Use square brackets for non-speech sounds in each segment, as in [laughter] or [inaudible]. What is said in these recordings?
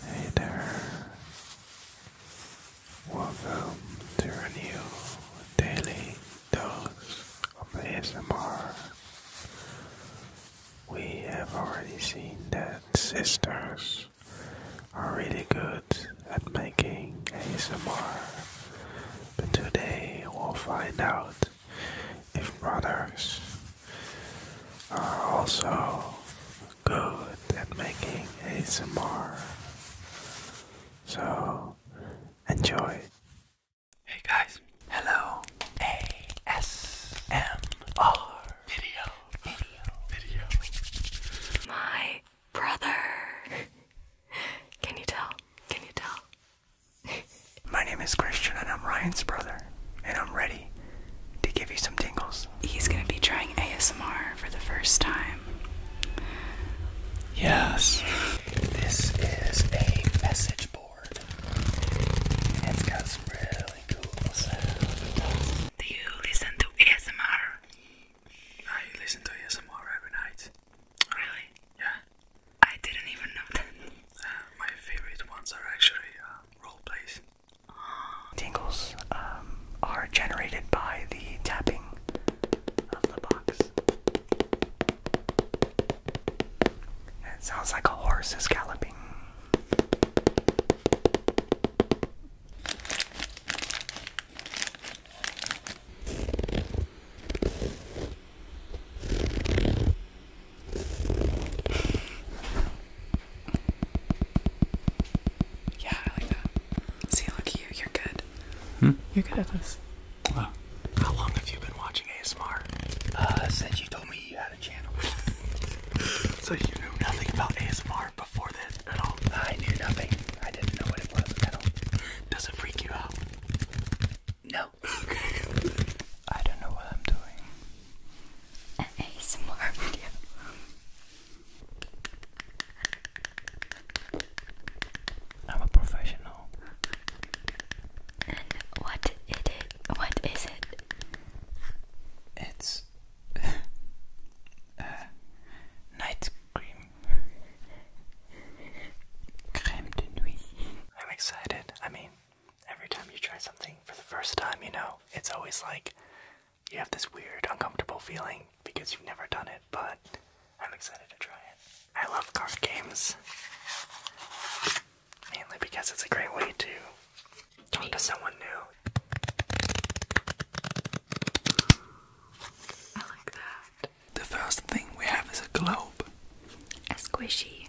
Hey there, welcome to a new daily dose of ASMR. We have already seen that sisters are really good at making ASMR, but today we'll find out if brothers are also good at making ASMR. So, enjoy. Hey guys, hello. ASMR video, My brother. Can you tell? Can you tell? My name is Christian and I'm Ryan's brother, and I'm ready to give you some tingles. He's going to be trying ASMR for the first time. Yes. This is a message board. it's got some really cool sounds. Do you listen to ASMR? I listen to ASMR every night. Really? Yeah. I didn't even know that. Uh, my favorite ones are actually uh, role plays. Tingles um, are generated by the tapping of the box. it sounds like a horse is galloping. Yeah, I like that. See, look at you, you're good. Hmm? You're good at this. How long have you been watching ASMR? Uh, since you told me you had a channel. [laughs] so you knew nothing about ASMR before this at all? I knew nothing. I didn't know what it was Does it freak you out? No. Okay. [laughs] I don't know what I'm doing. I'm a professional. And what it is, what is it? It's [laughs] uh, night cream. Crème de nuit. I'm excited. I mean, every time you try something for the first time, you know, it's always like you have this weird, uncomfortable feeling because you've never done it, but I'm excited to try it. I love card games, mainly because it's a great way to talk to someone new. I like that. The first thing we have is a globe. A squishy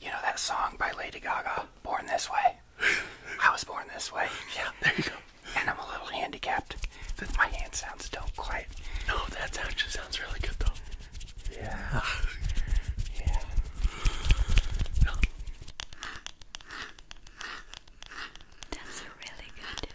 You know that song by Lady Gaga, Born This Way? I was born this way. [laughs] Yeah, there you go. And I'm a little handicapped. My hand sounds don't quite. No, that actually sounds really good though. Yeah. Yeah. That's really good.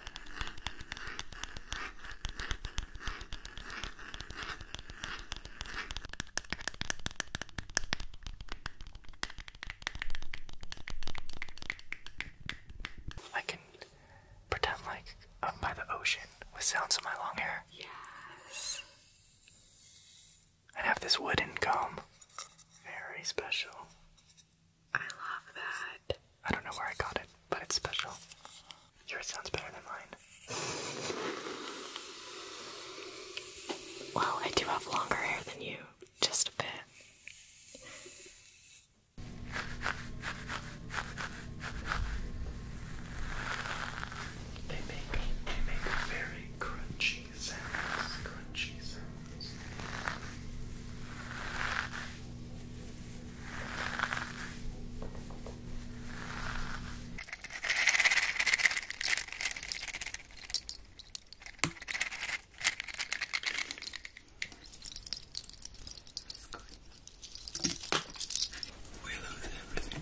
I can pretend like I'm by the ocean with sounds of my long hair. Yes. I have this wooden comb. Very special. I love that. I don't know where I got it, but it's special. Yours sounds better than mine. Well, I do have longer hair than you, just a bit make crunchy sounds. Crunchy sounds. We lose everything.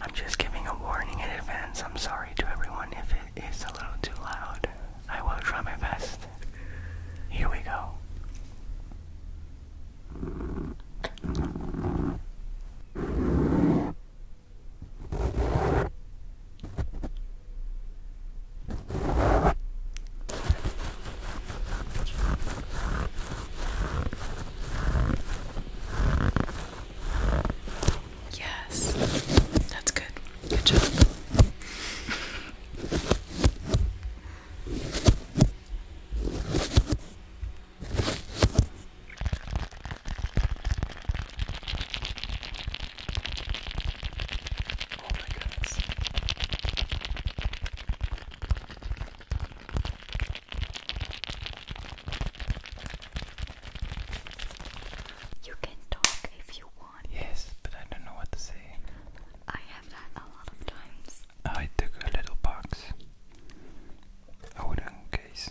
I'm just giving a warning in advance. I'm sorry to everyone if it is a little too loud. I will try my best. Here we go. Yes, that's good. Good job. Oh my goodness. You can talk if you want. Yes, but I don't know what to say. I have that a lot of times. I took a little box. I would case.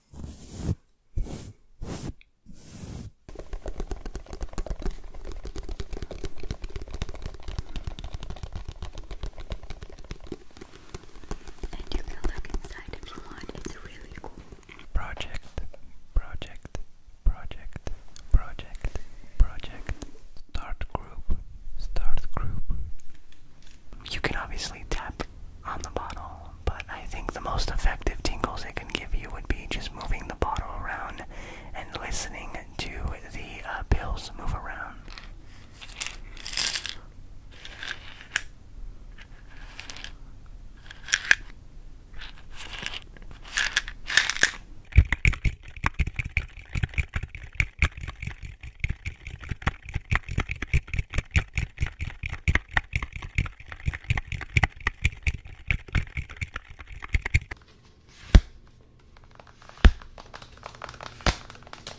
And you can look inside if you want, it's really cool. Project, project, project, project, project, start group, start group. You can obviously tap on the bottle, but I think the most effective tingles it can give you would be just moving the bottle around and listening to the uh, pills move around.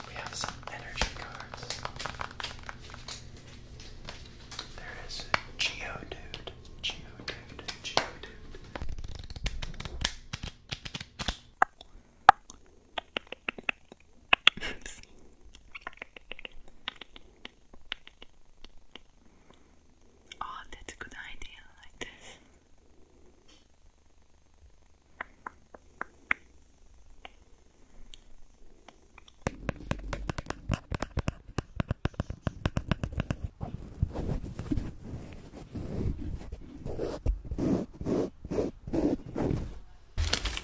We have some energy cards. There is Geodude, Geodude, Geodude. [laughs] Oh, that's a good idea, like this.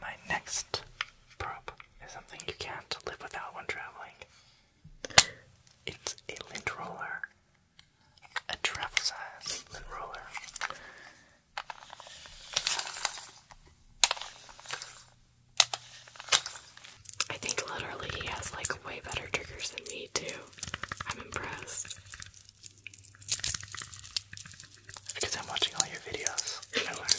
My next prop is something you can't live without when traveling. It's a lint roller, a travel size lint roller. I think literally he has like way better triggers than me too. I'm impressed. because I'm watching all your videos. I learned.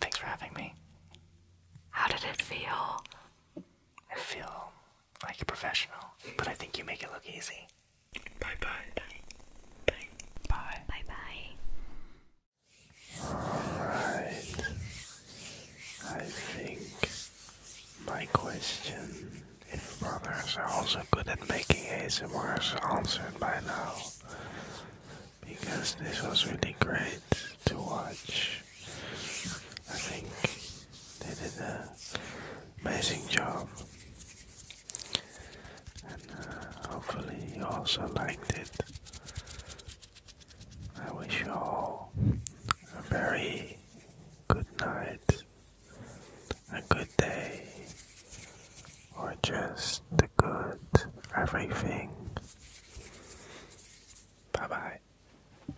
Thanks for having me. How did it feel? I feel like a professional, but I think you make it look easy. Bye bye. Bye. Bye. Bye bye. Alright. I think my question if brothers are also good at making ASMR is answered by now. Because this was really great to watch. I think they did an amazing job. And uh, hopefully you also liked it. I wish you all a very good night, a good day, or just the good everything. Bye bye.